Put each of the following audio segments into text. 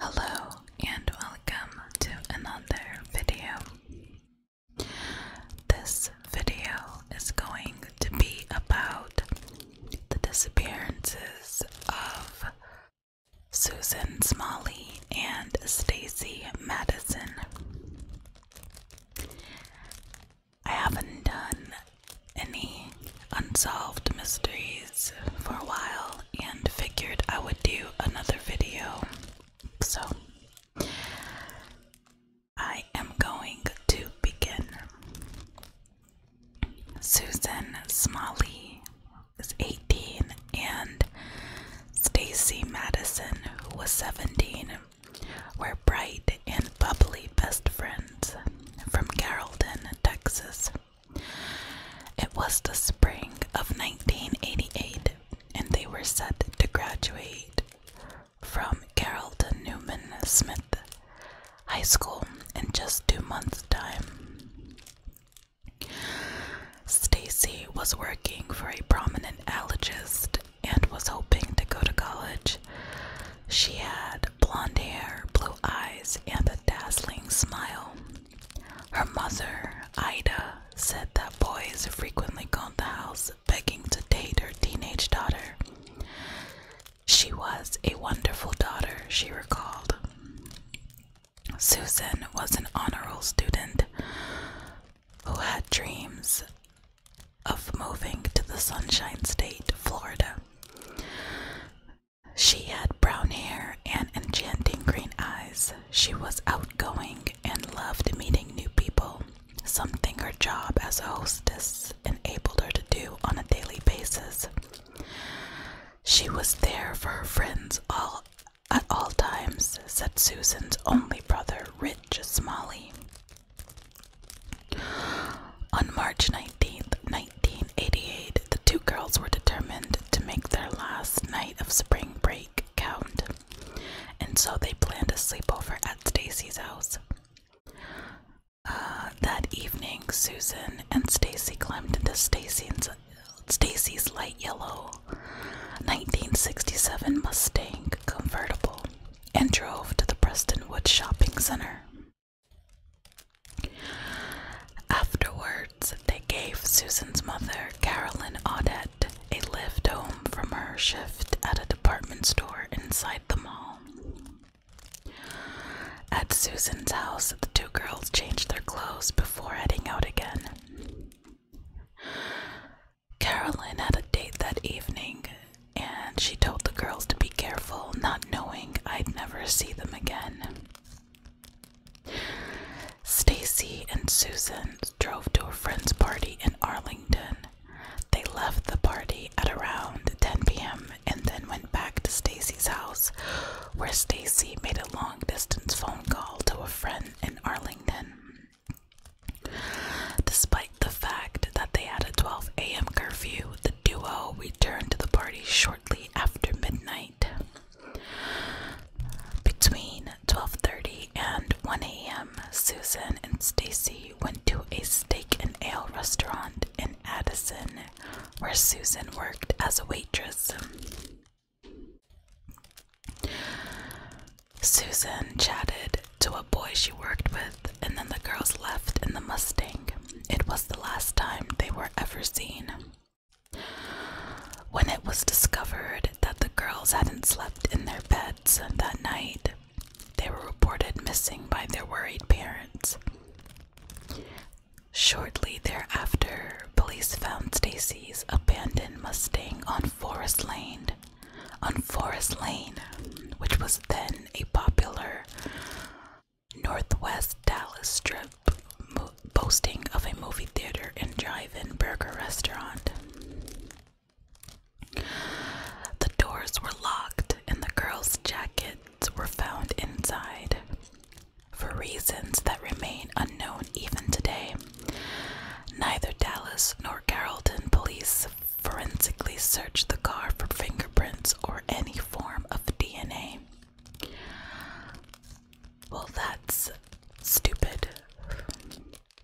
Hello and welcome to another video. This video is going to be about the disappearances of Susan Smalley and Stacy Madison. I haven't done any unsolved mysteries for a while and figured I would do another video. So I am going to begin. Susan Smalley was 18 and Stacy Madison, who was 17, were bright and bubbly best friends from Carrollton, Texas. It was the spring of 1988 and they were set to graduate from Carrollton Newman Smith High School in just two months' time. Stacy was working for a prominent allergist and was hoping to go to college. She had blonde hair, blue eyes, and a dazzling smile. Her mother, Ida, said that boys frequently called the house begging to date her teenage daughter. She was a wonderful daughter, she recalled. Susan was an honorable student who had dreams of moving to the Sunshine State, Florida. She had brown hair and enchanting green eyes. She was outgoing and loved meeting new people, something her job as a hostess enabled her to do on a daily basis. She was there for her friends all at all times, said Susan's only brother, Rich Smalley. On March 19, 1988, the two girls were determined to make their last night of spring break count, and so they planned a sleepover at Stacy's house. Uh, that evening, Susan and Stacy climbed into Stacy's, light yellow 1967 Mustang convertible and drove to the Prestonwood Shopping Center. Afterwards, they gave Susan's mother, Carolyn Audet a lift home from her shift at a department store inside the mall. At Susan's house, the two girls changed their clothes before heading out again. Carolyn had a date that evening, and she told the girls to be careful, not knowing I'd never see them again. Stacy and Susan drove to a friend's party in Arlington. They left the party at around 10 p.m and then went back to Stacy's house, where Stacy made a long distance phone call to a friend in Arlington. Despite the fact that they had a 12 a.m. curfew, the duo returned to the party shortly after midnight. Between 12:30 and 1 a.m., Susan and Stacy went to a steak and ale restaurant in Addison, where Susan worked as a waitress. Susan chatted to a boy she worked with, and then the girls left in the Mustang. It was the last time they were ever seen. When it was discovered that the girls hadn't slept in their beds that night, they were reported missing by their worried parents. Shortly thereafter, police found Stacy's abandoned Mustang on Forest Lane. On Forest Lane, which was then a popular Northwest Dallas strip boasting of a movie theater and drive-in burger restaurant. The doors were locked and the girl's jacket were found inside for reasons that remain unknown even today. Neither Dallas nor Carrollton police forensically searched the car for fingerprints or any form of DNA. Well, that's stupid.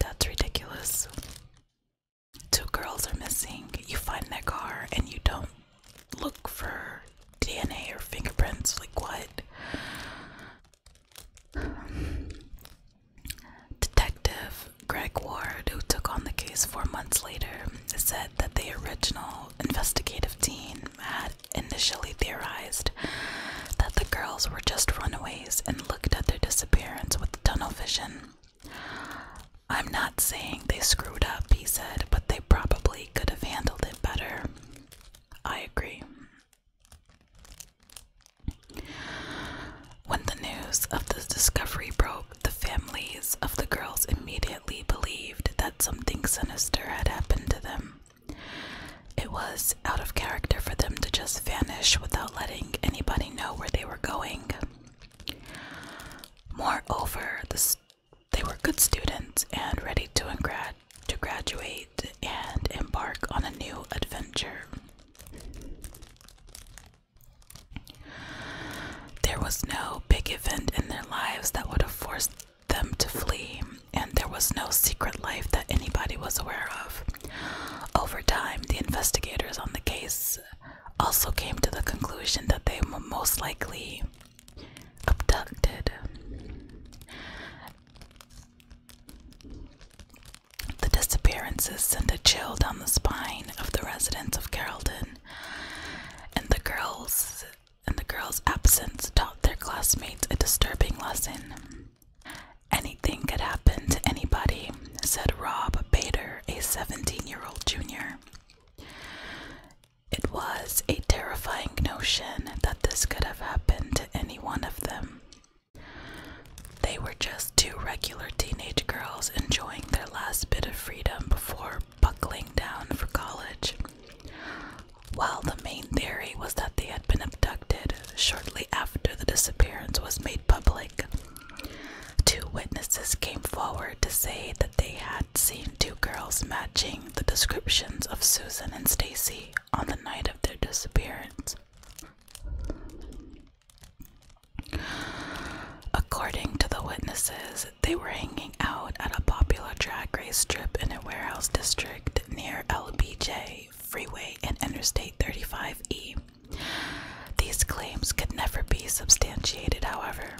That's ridiculous. Two girls are missing. You find their car and you don't look for DNA or fingerprints. Like, what? Detective Greg Ward, who took on the case four months later, said that the original investigative team had initially theorized that the girls were just runaways and looked at their disappearance with tunnel vision. I'm not saying they screwed up, he said, but they probably could have handled it better. I agree. When the news of the discovery broke, the families of the girls immediately believed that something sinister had happened to them. It was out of character for them to just vanish without letting anybody know where they were going. Moreover, they were good students and ready to, to graduate and embark on a new adventure. There was no big event in their lives that would have forced them to flee, and there was no secret life that anybody was aware of. Over time, the investigators on the case also came to the conclusion that they were most likely abducted. The disappearances sent a chill down the spine of the residents of Carrollton, and the girls and the girls' absence taught their classmates a disturbing lesson. Anything could happen to anybody, said Rob Bader, a 17 year old junior. It was a terrifying notion that this could have happened to any one of them. They were just two regular teenage girls enjoying their last bit of freedom before buckling down for college. While the main theory was that they had been abducted shortly after the disappearance was made public, Two witnesses came forward to say that they had seen two girls matching the descriptions of Susan and Stacy on the night of their disappearance. According to the witnesses, they were hanging out at a popular drag race strip in a warehouse district near LBJ Freeway and Interstate 35E. These claims could never be substantiated, however.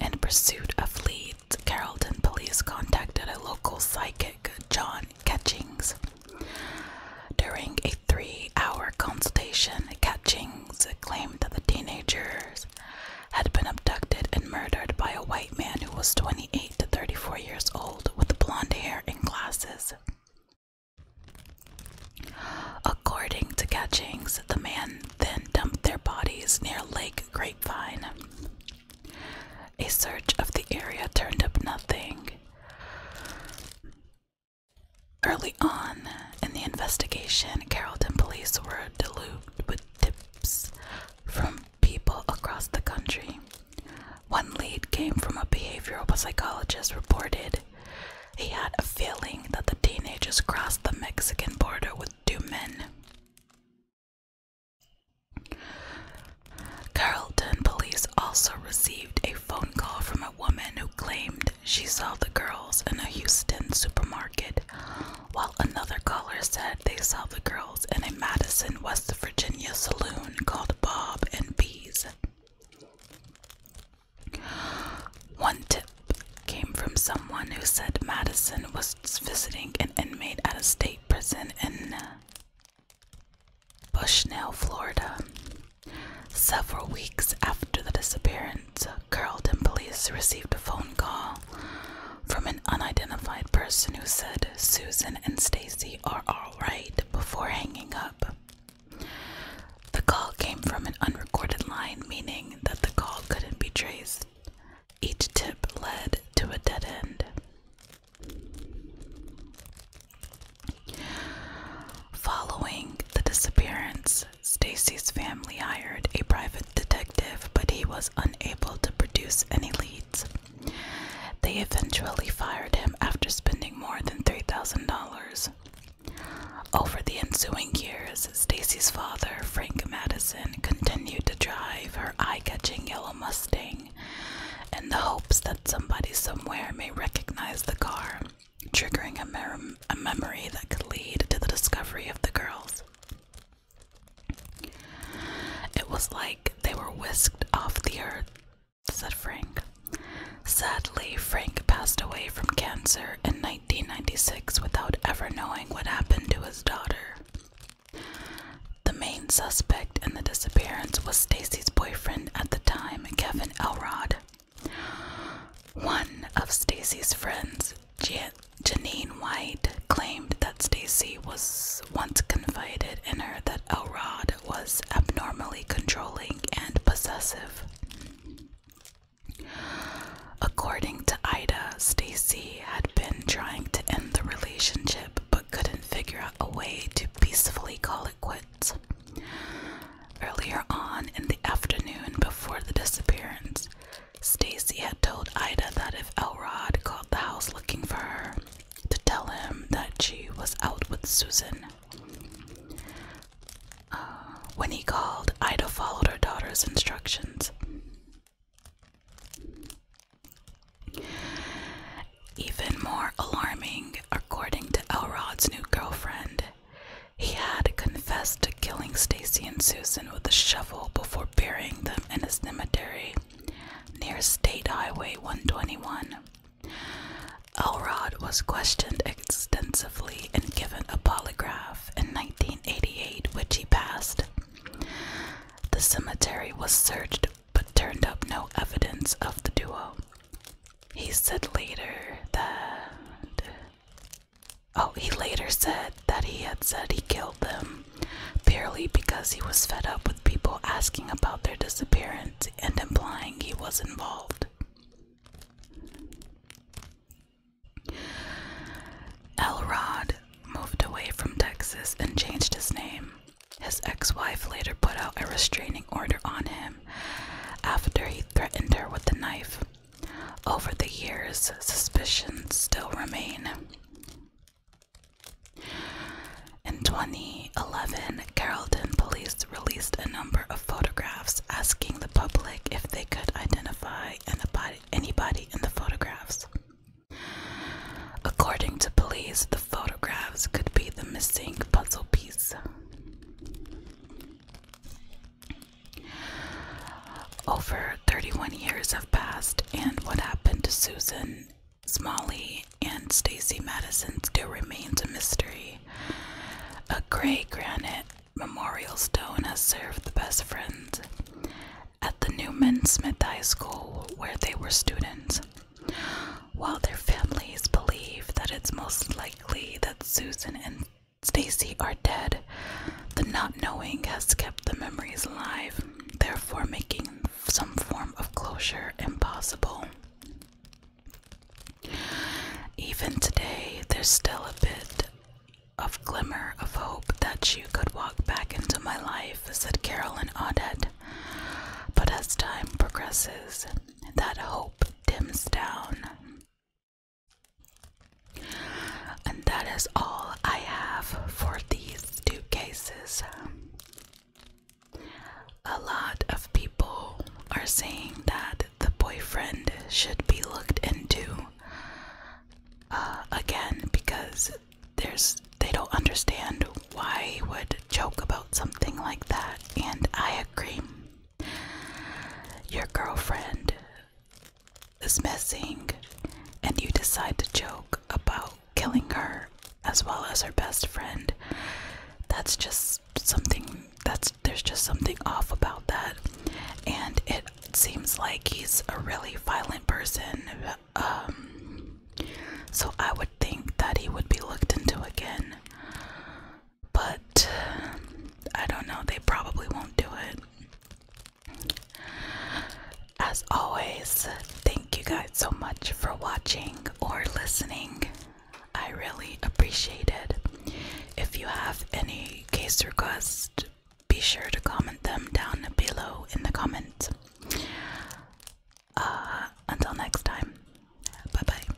In pursuit of leads, Carrollton police contacted a local psychic, John Catchings. During a three hour consultation, Catchings claimed that the teenagers had been abducted and murdered by a white man who was 28 to 34 years old with blonde hair and glasses. According to Catchings, the man then dumped their bodies near Lake Grapevine. A search of the area turned up nothing. Early on in the investigation, Carrollton police were deluged with tips from people across the country. One lead came from a behavioral psychologist reported he had a feeling that the teenagers crossed the Mexican border with two men. Carrollton police also received a phone call from a woman who claimed she saw the girls in a Houston supermarket, while another caller said they saw the girls in a Madison, West Virginia saloon called Bob and Bees. One tip came from someone who said Madison was visiting an inmate at a state prison in Bushnell, Florida. Several weeks after the disappearance, Carlton police received a phone call from an unidentified person who said Susan and Stacy are all right before hanging up. The call came from an unrecorded line, meaning that the call couldn't be traced. Each tip led to a dead end. Following the disappearance, Stacy's family hired a private detective but he was unable to produce any leads. They eventually fired him after spending more than $3,000. Over the ensuing years, Stacy's father, Frank Madison, continued to drive her eye catching yellow Mustang in the hopes that somebody somewhere may recognize the car, triggering a memory that could lead to the discovery of the girls. It was like they were whisked off the earth, said Frank. Sadly, Frank passed away from cancer in 1996 without ever knowing what happened to his daughter. The main suspect in the disappearance was Stacy's boyfriend at the time, Kevin Elrod. One of Stacy's friends, Janine White claimed that Stacy was once confided in her that Elrod was abnormally controlling and possessive. According to Ida, Stacy had been trying to end the relationship but couldn't figure out a way to peacefully call it quits. Earlier on in the afternoon before the disappearance, Stacy had told Ida that if Elrod called the house looking for her, to tell him that she was out with Susan. Uh, when he called, Ida followed her daughter's instructions. Even more alarming, according to Elrod's new girlfriend, he had confessed killing Stacy and Susan with a shovel before burying them in a cemetery near State Highway 121. Elrod was questioned extensively and given a polygraph in 1988, which he passed. The cemetery was searched but turned up no evidence of the duo. He said later that Oh, he later said that he had said he killed them purely because he was fed up with people asking about their disappearance and implying he was involved. Elrod moved away from Texas and changed his name. His ex wife later put out a restraining order on him after he threatened her with a knife. Over the years, suspicions still remain. In 2011, Carrollton police released a number of photographs asking the public if they could identify anybody in the photographs. According to police, the photographs could be the missing puzzle piece. Over 31 years have passed, and what happened to Susan Smalley and Stacy Madison still remains a mystery. A gray granite memorial stone has served the best friends at the Newman Smith High School where they were students. While their families believe that it's most likely that Susan and Stacy are dead. The not knowing has kept the memories alive, therefore making some form of closure impossible. Even today, there's still a bit of glimmer of hope that you could walk back into my life, said Carolyn Audet. But as time progresses, that hope dims down. And that is all I have for these two cases. A lot of people are saying that the boyfriend should be looked into uh, again because there's they don't understand why he would joke about something like that, and I agree. Your girlfriend is missing, and you decide to joke about killing her as well as her best friend. That's just something that's there's just something off about that, and it seems like he's a really violent person. Um, so I would think that he would be looked into again. But I don't know, they probably won't do it. As always, thank you guys so much for watching or listening. I really appreciate it. If you have any case requests, be sure to comment them down below in the comments. Uh, until next time, bye bye.